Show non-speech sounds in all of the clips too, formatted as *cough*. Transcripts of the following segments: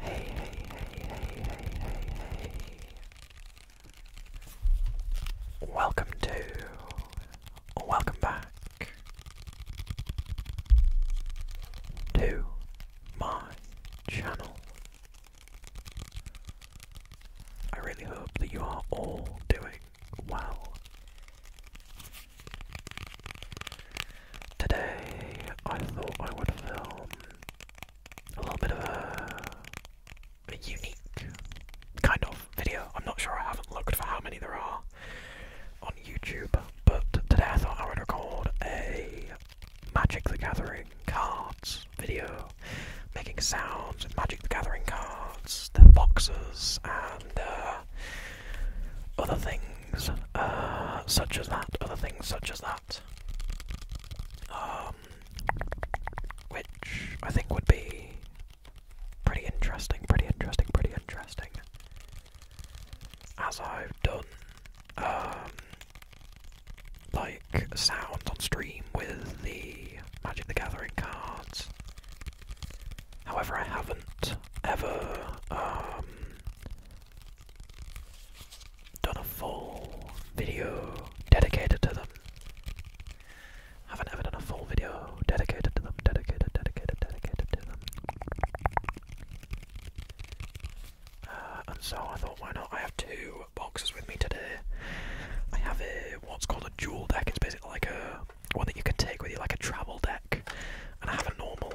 Hey, hey, hey, hey, hey, hey, Welcome to, welcome back to my channel. I really hope that you are all doing well. Today, I thought I would film a little bit of a, unique kind of video. I'm not sure, I haven't looked for how many there are on YouTube, but today I thought I would record a Magic the Gathering cards video, making sounds with Magic the Gathering cards, the boxes, and uh, other things things uh, such as that, other things such as that, um, which I think would be pretty interesting, pretty interesting, pretty interesting. As I've done, um, like sounds on stream with the Magic the Gathering cards. However, I haven't ever um, done a full video dedicated to them. Haven't ever done a full video dedicated to them, dedicated, dedicated, dedicated to them. Uh, and so I thought, why not? I have two boxes with me today. I have a what's called a dual deck. It's basically like a one that you can take with you, like a travel deck, and I have a normal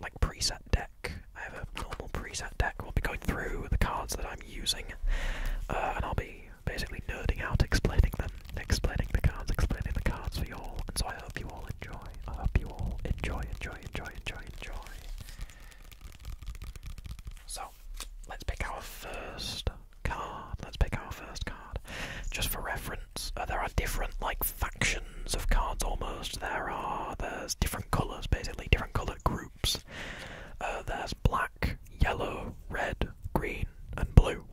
like preset deck. I have a normal preset deck. We'll be going through the cards that I'm using, uh, and I'll be basically nerding out, explaining them, explaining the cards, explaining the cards for you all. And so I hope you all enjoy. I hope you all enjoy, enjoy, enjoy, enjoy, enjoy. So let's pick our first card. Let's pick our first card. Just for reference, uh, there are different like factions of cards almost. There are there's different colours basically, different colour groups. Uh, there's black, yellow, red, green, and blue.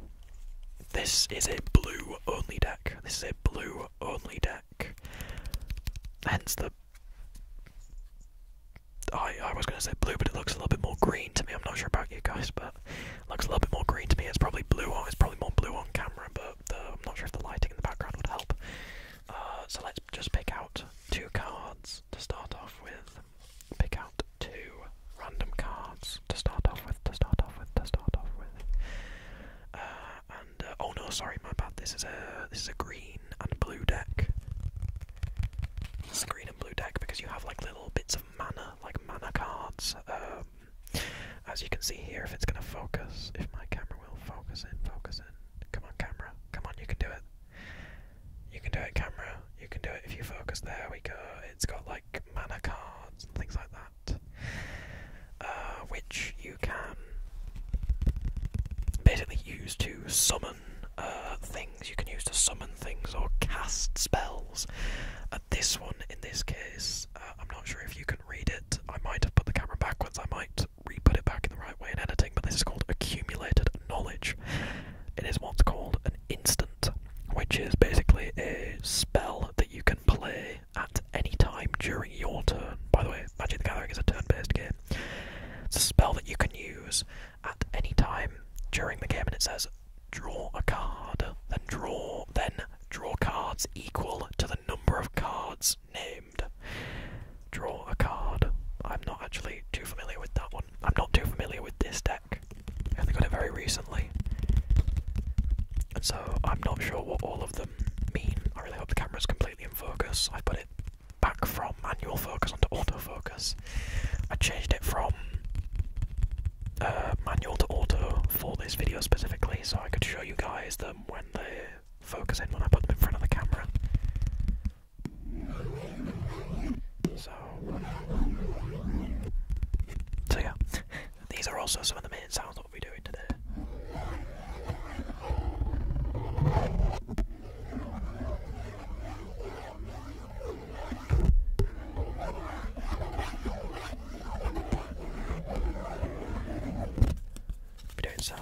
This is a blue only deck. This is a blue only deck. Hence the I, I was going to say blue, but it looks a little bit more green to me. I'm not sure about you guys, but looks a little bit more green to me. It's probably blue on. It's probably more blue on camera, but I'm not sure if the lighting in the background would help. Uh, so let's just pick out two cards to start off with. Pick out two random cards to start off with. To start off with. To start off with. Uh, and uh, oh no, sorry, my bad. This is a this is a green and blue deck. This is a green and blue deck because you have like little bits of mana, like mana cards. Um, as you can see here, if it's going to focus, if my camera Will. Focus in, focus in. Come on, camera. Come on, you can do it. You can do it, camera. You can do it if you focus. There we go. It's got like mana cards and things like that, uh, which you can basically use to summon uh, things. You can use to summon things or cast spells. Uh, this one, in this case, uh, I'm not sure if you can read it. I might have put the camera backwards. I might is it back in the right way in editing, but this is called accumulated knowledge. It is what's called an instant, which is basically a spell that you can play at any time during your turn. By the way, Magic the Gathering is a turn-based game. It's a spell that you can use at any time during the game, and it says draw a card, then draw, then draw cards equal to the number of cards named Draw a Card. I'm not actually too familiar with that one. I'm not too familiar with this deck. I only got it very recently. And so I'm not sure what all of them mean. I really hope the camera's completely in focus. I put it back from manual focus onto autofocus. I changed it from uh, manual to auto for this video specifically so I could show you guys them when they focus in when I put them in front of the camera. So, yeah, these are also some of the main sounds that we'll be doing today. We're doing sound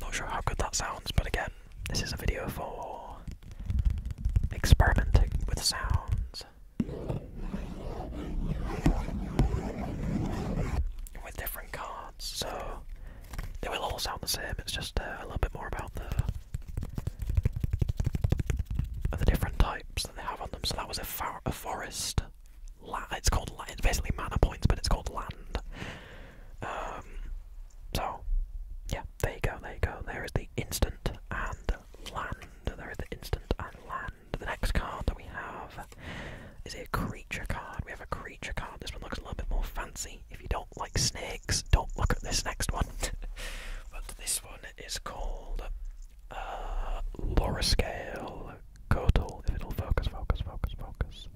Not sure how good that sounds, but again, this is a video for experimenting with sounds. With different cards, so they will all sound the same. It's just uh, a little bit more about the the different types that they have on them. So that was a, forest. it's called It's basically mana points, but it's called land. Um, so yeah, there you go, there you go. There is the instant and land. There is the instant and land. The next card that we have is a creature card. We have a creature card. This one looks a little bit more fancy. If you don't like snakes, don't look at this next one. *laughs* but this one is called uh, Laura If it'll focus, focus, focus, focus.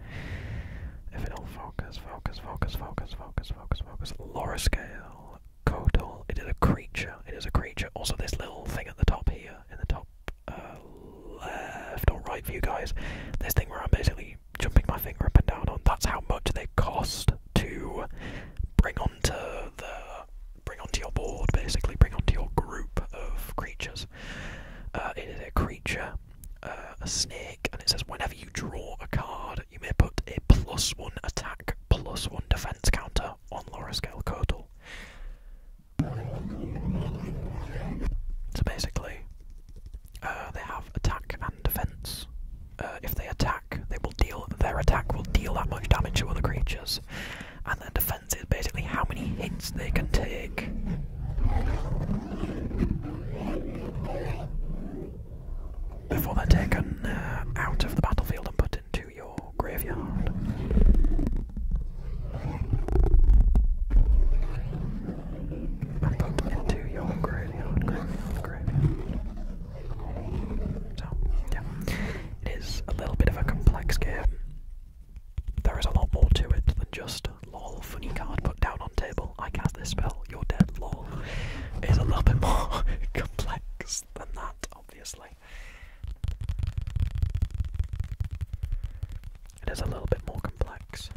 If it'll focus. Focus, focus, focus, focus, focus, focus, focus. Lower scale, It is a creature. It is a creature. Also, this little thing at the top here, in the top uh, left or right for you guys, this thing where I'm basically jumping my finger up and down on. That's how much they cost to bring onto the bring onto your board. Basically, bring onto your group of creatures. Uh, it is a creature. Uh, a snake, and it says whenever you draw a card, you may put a plus one attack, plus one defense counter on Laurascale Kotal. So basically, uh, they have attack and defense. Uh, if they attack, they will deal. Their attack will deal that much damage to other creatures, and their defense is basically how many hits they can take before they're taken uh, out of the battlefield and put into your graveyard. put into your graveyard, yeah. It is a little bit of a complex game. There is a lot more to it than just lol funny card put down on table. I cast this spell your dead lol is a little bit more *laughs* complex than that, obviously. It is a little bit more complex.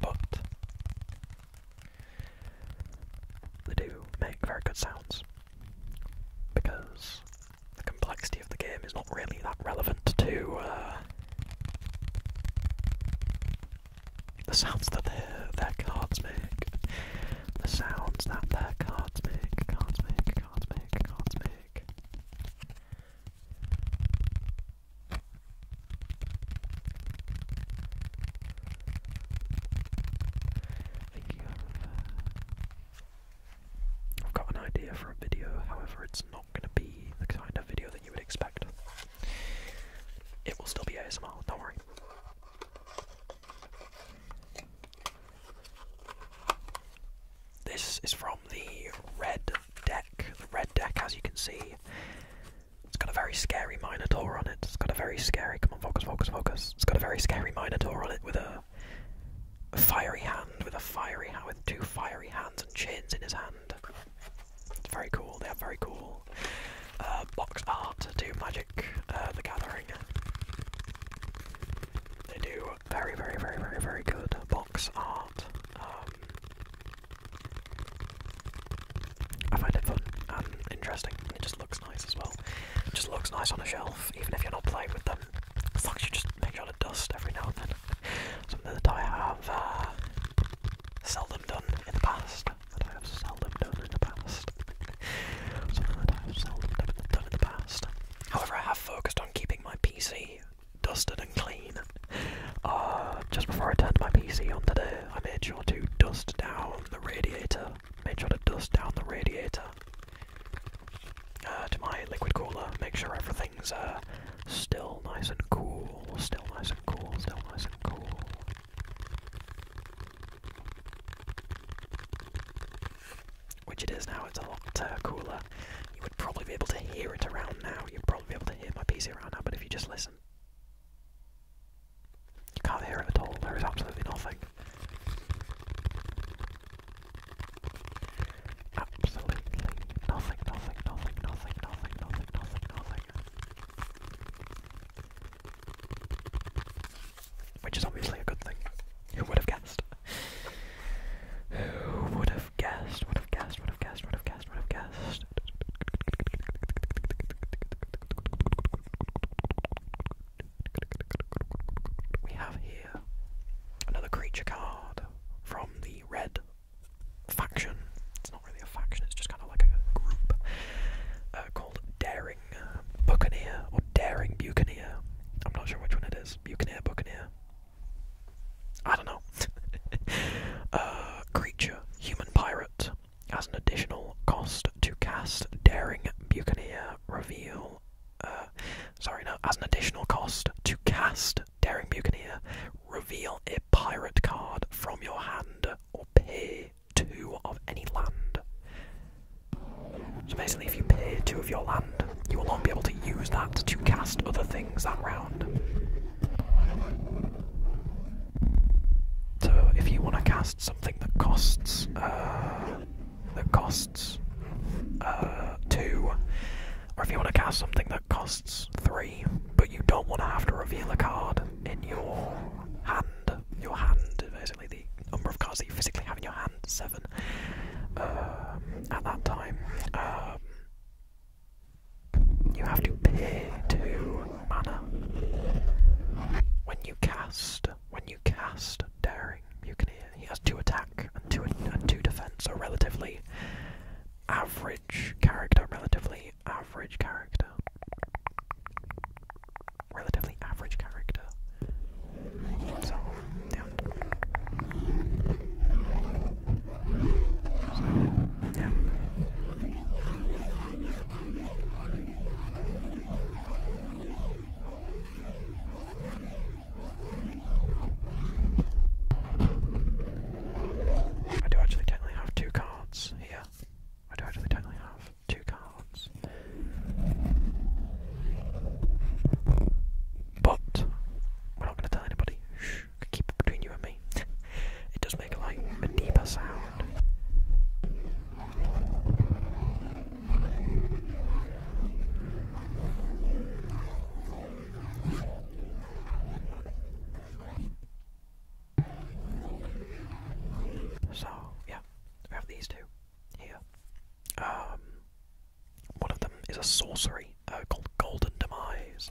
But they do make very good sounds because the complexity of the game is not really that relevant to uh, the sounds that their, their cards make. The sounds that their cards make, cards make, cards make, cards make. I've got an idea for a video, however, it's not going to be the kind of video that you would expect. It will still be ASMR, don't worry. This is from the Red Deck. The Red Deck, as you can see, it's got a very scary Minotaur on it. It's got a very scary. Come on, focus, focus, focus. It's got a very scary Minotaur on it with a, fiery hand, with a fiery hand, with two fiery hands and chains in his hand. very cool. They are very cool. Uh, box art do Magic uh, the Gathering. They do very, very, very, very, very good box art. Um, I find it fun and um, interesting, it just looks nice as well. It just looks nice on a shelf, even if you're not playing with them. As long as you just make sure to dust every now and then. Something that I have uh, seldom done in the past. That I have seldom done in the past. Something that I have seldom done in the past. However, I have focused on keeping my PC dusted and clean. Uh, just before I turned my PC on today, I made sure to dust down the radiator. Made sure to dust down the radiator uh, to my liquid cooler. Make sure everything's uh, still nice and cool. Still nice and cool. Still nice and cool. Which it is now. It's a lot uh, cooler. You would probably be able to hear it around now. You'd probably be able to hear my PC around now. But if you just listen. You can't hear it at all, there is absolutely nothing. Absolutely nothing, nothing, nothing, nothing, nothing, nothing, nothing, Which is obviously a good thing. Who would have guessed? Who Would have guessed? Would have guessed? Would have guessed? Would have guessed? We have here another creature card from the red faction. It's not really a faction, it's just kind of like a group uh, called Daring Buccaneer or Daring Buccaneer. I'm not sure which one it is. Buccaneer, Buccaneer. I don't know. *laughs* Uh, creature, human pirate, as an additional cost to cast Daring Buccaneer reveal. Uh, sorry, no, as an additional cost to cast Daring Buccaneer, reveal a pirate card from your hand or pay two of any land. So basically, if you pay two of your land, you will not be able to use that to cast other things that round. So if you want to cast something that costs uh, that costs uh, two, or if you want to cast something that costs three, but you don't want to have to reveal a card in your hand. Your hand, basically the number of cards that you physically have in your hand, seven uh, at that time. Um, you have to pay two manner. When you cast, when you cast daring, you can hear he has two attack and two and two defense, A relatively average character, relatively average character, relatively average character. So, yeah. yeah. I do actually technically have two cards here. I do actually technically have two cards. But we're not gonna tell anybody. Shh, keep it between you and me. *laughs* it does make like a sound. So, yeah, we have these two here. Um, one of them is a sorcery uh, called Golden Demise.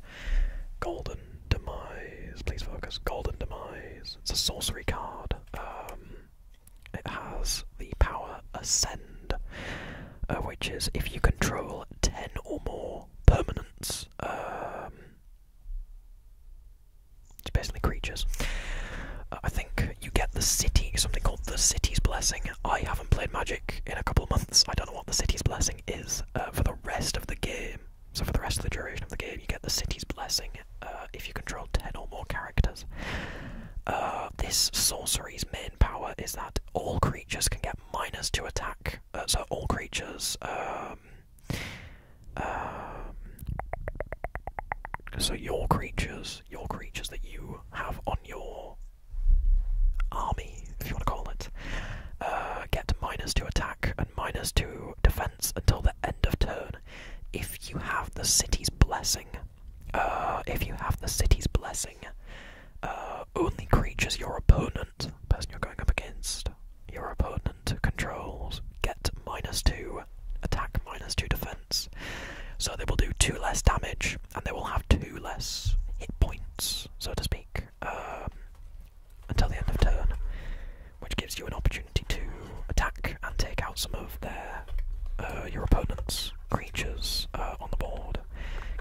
Golden Demise, please focus. Golden Demise. It's a sorcery card. Um, it has the power Ascend, uh, which is if you control 10 or more permanents, um, it's basically creatures. Uh, I think you get the city, something called the City's Blessing. I haven't played Magic in a couple of months, I don't know what the City's Blessing is uh, for the rest of the game. So for the rest of the duration of the game, you get the city's blessing uh, if you control 10 or more characters. Uh, this sorcery's main power is that all creatures can get miners to attack. Uh, so all creatures. Um, um, so your creatures, your creatures that you have on your army, if you want to call it, get miners to attack 2 defense until the end of turn if you have the city's blessing. Uh, if you have the city's blessing, uh, only creatures your opponent, person you're going up against, your opponent controls, get minus 2 attack, minus 2 defense. So they will do 2 less damage and they will have 2 less hit points, so to speak, um, until the end of turn which gives you an opportunity to attack and take out some of their uh, your opponent's creatures uh, on the board.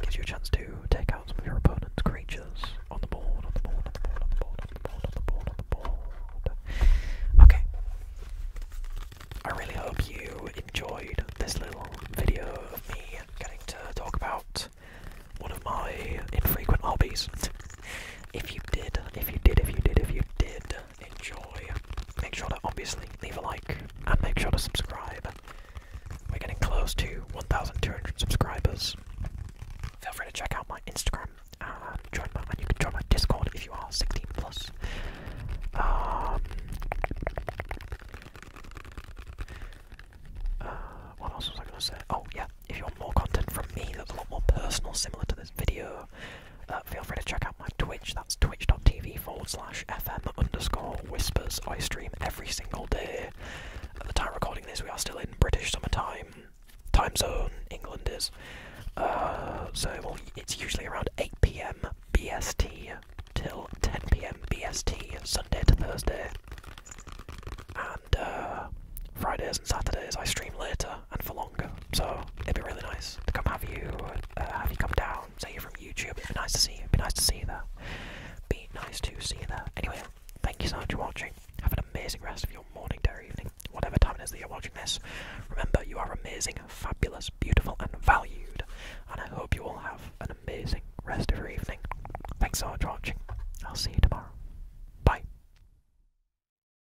Gives you a chance to take out some of your opponent's creatures on the board, on the board, on the board, on the board, on the board, on the board. On the board. Okay. I really hope you enjoyed this little video of me getting to talk about one of my infrequent hobbies. *laughs* if you did, if you did, if you did, if you did, uh, enjoy, make sure to obviously leave a like and make sure to subscribe. We're getting close to 1,200 subscribers. Feel free to check out my Instagram join my and you can join my Discord if you are 16 plus. Um, uh, what else was I gonna say? Oh yeah, if you want more content from me that's a lot more personal, similar to this video, uh, feel free to check out my Twitch, that's twitch.tv forward slash fm underscore whispers. I stream every single day. At the time recording this, we are still in British summertime time zone, England is. Uh, so it's usually around 8 pm BST till 10 pm BST, Sunday to Thursday. And uh, Fridays and Saturdays I stream later, and for longer. So it'd be really nice to come have you, uh, have you come down. Say you're from YouTube. It'd be nice to see you. It'd be nice to see you there. Be nice to see you there. Anyway, thank you so much for watching. Have an amazing rest of your morning, day, or evening, whatever time it is that you're watching this. Remember, you are amazing, fabulous, beautiful, and valued. And I hope you all have an amazing rest of your evening. Thanks so much for watching. I'll see you tomorrow. Bye.